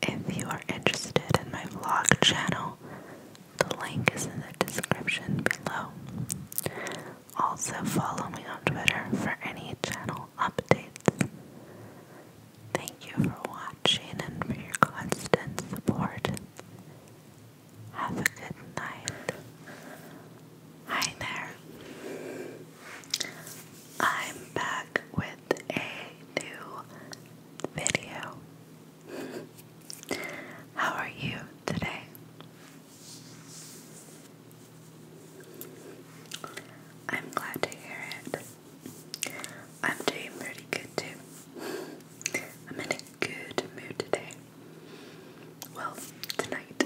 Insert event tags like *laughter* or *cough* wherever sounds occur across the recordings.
If you are interested in my vlog channel, the link is in the description below. Also, follow me on Twitter for any channel updates. Thank you for watching and for your constant support. Have a good night. Hi there. I'm back with a new video. *laughs* How are you today? I'm glad to hear it. I'm doing pretty good too. *laughs* I'm in a good mood today. Well, tonight.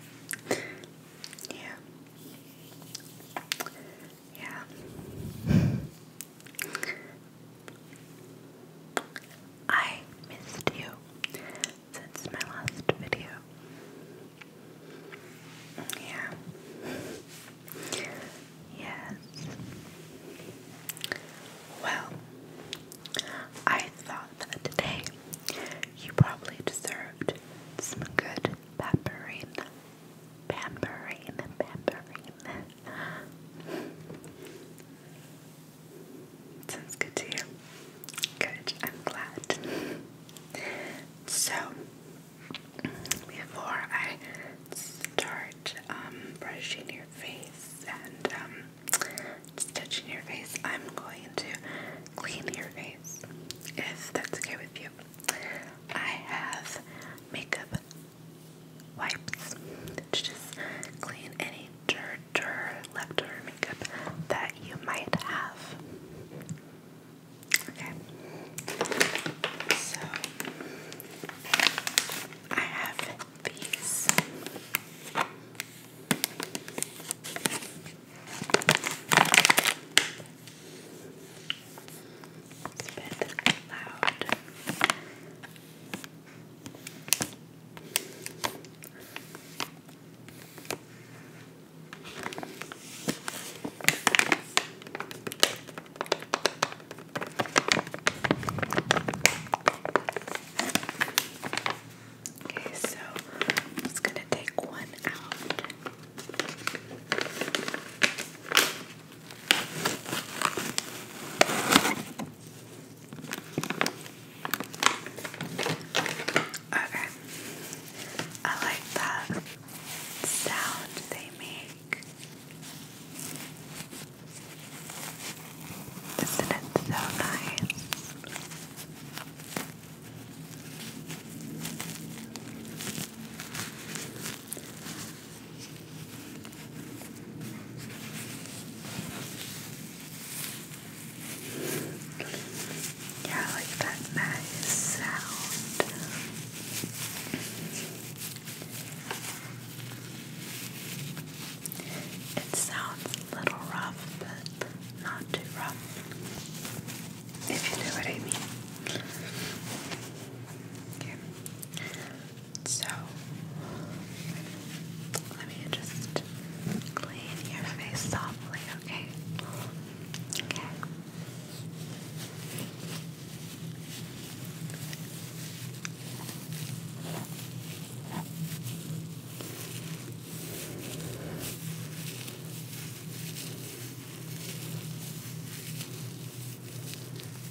*laughs* yeah. Yeah. I missed you since my last video. Yeah. Yes. Well, I thought that today you probably deserved some good pepperine Pampering, pampering. Sounds good to you. Good, I'm glad. So, before I start um, brushing your face and um, touching your face, I'm going to clean your face if that's okay with you. I have makeup wipes to just clean any dirt or leftover makeup that you might have. Okay, so I have these. It's a Okay, so I'm just going to take one out. Okay. I like that sound they make. Isn't it so nice? Yeah, like that nice sound. It sounds a little rough, but not too rough. If you know what I mean. Okay. So let me just clean your face softly, okay? Okay.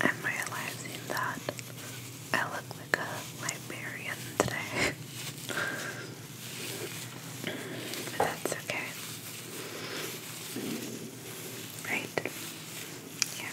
I'm realizing that I look like a librarian today. but that's okay. Right? Yeah.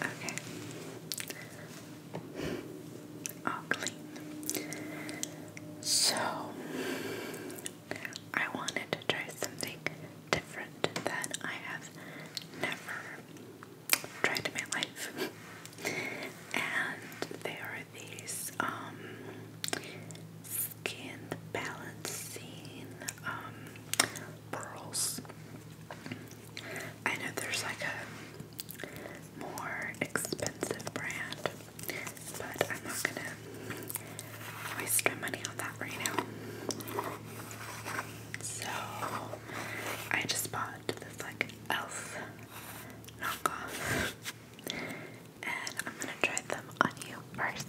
Okay. All clean. So, I wanted to try something different that I have never tried in my life. and they are these um skin balancing um pearls. I know there's like a more expensive brand, but I'm not gonna waste my money on that right now. So I just bought this like elf knockoff, and I'm gonna try them on you first.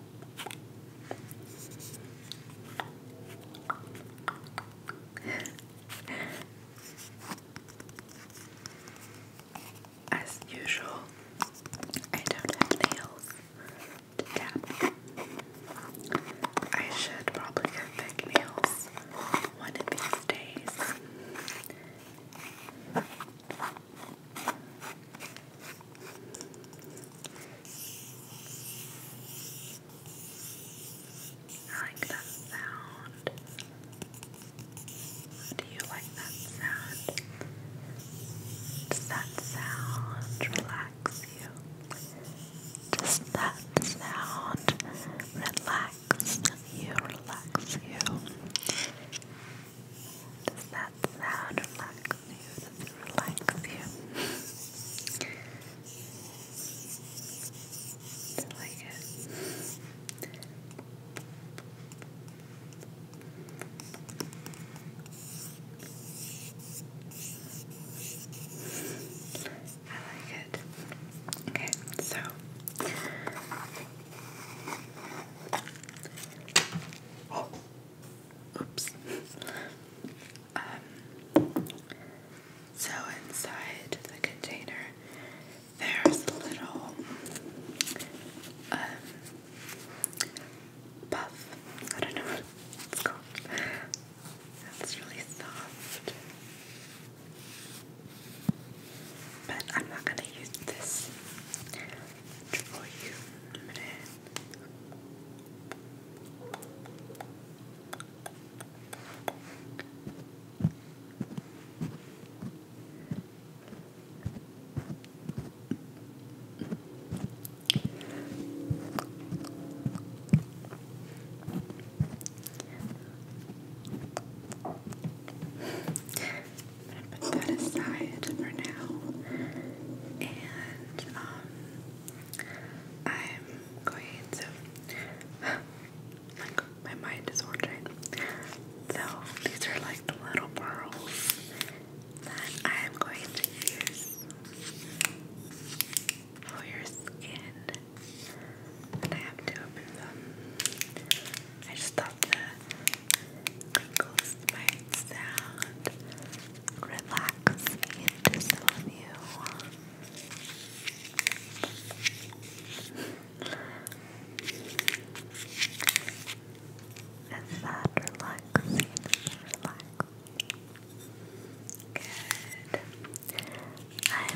As usual, I don't have nails to tap. I should probably get big nails one of these days. I like that sound. Do you like that sound? Does that sound relax you? Does that sound relax you? Relax you? Does that sound relax you? Does it relax you? I like it. I like it. Okay, so oh. Oops. Um, so inside the container, there's a little um, puff. I don't know what it's called. That's really soft. But I'm not going to use this draw you put that aside for now. And um, I'm going to like my mind is wandering. So these are like the little pearls that I am going to use for your skin. I have to open them. I just thought that crinkle smart sound relax into some of you. Is that relaxing? Relax. Good. I'm glad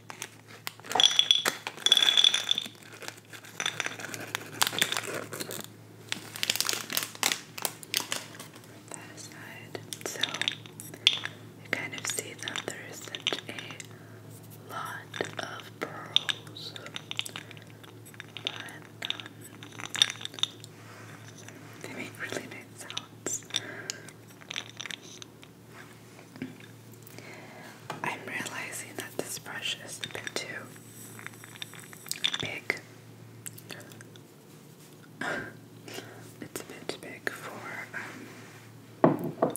That aside, so you kind of see that there is such a lot of pearls, but um, they make really nice sounds. I'm realizing that this brush is a bit too big. *laughs* it's a bit too big for um,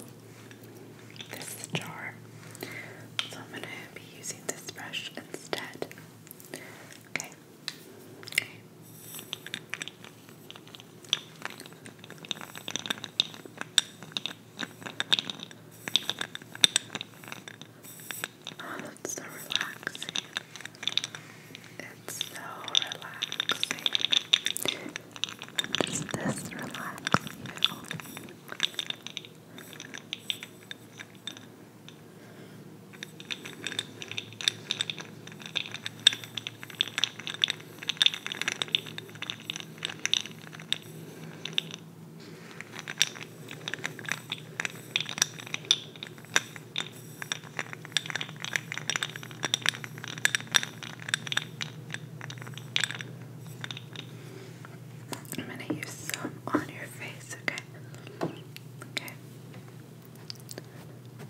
this jar. So I'm going to be using this brush instead. Okay. Oh, that's so relaxing. It's so relaxing. Does this relax you? I'm going to use some on your face, okay? Okay.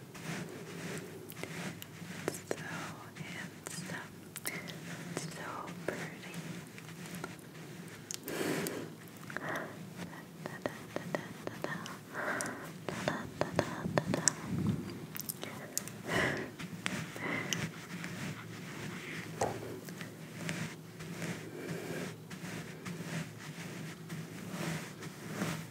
So handsome. So pretty.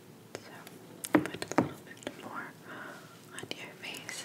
So put a little bit more on your face.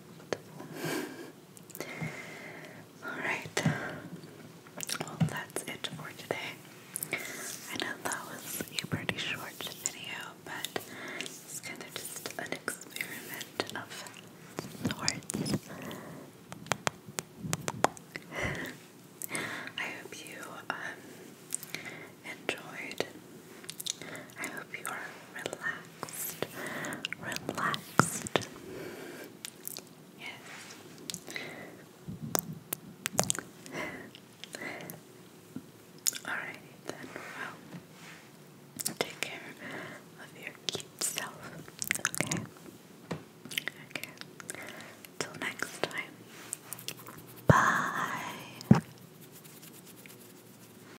Alright. Well, that's it for today. I know that was a pretty short video, but it's kind of just an experiment of sorts. I hope you um, enjoyed I hope you are relaxed, relaxed. Yes. Alright then, well, take care of your cute self, okay? Okay. Till next time. Bye.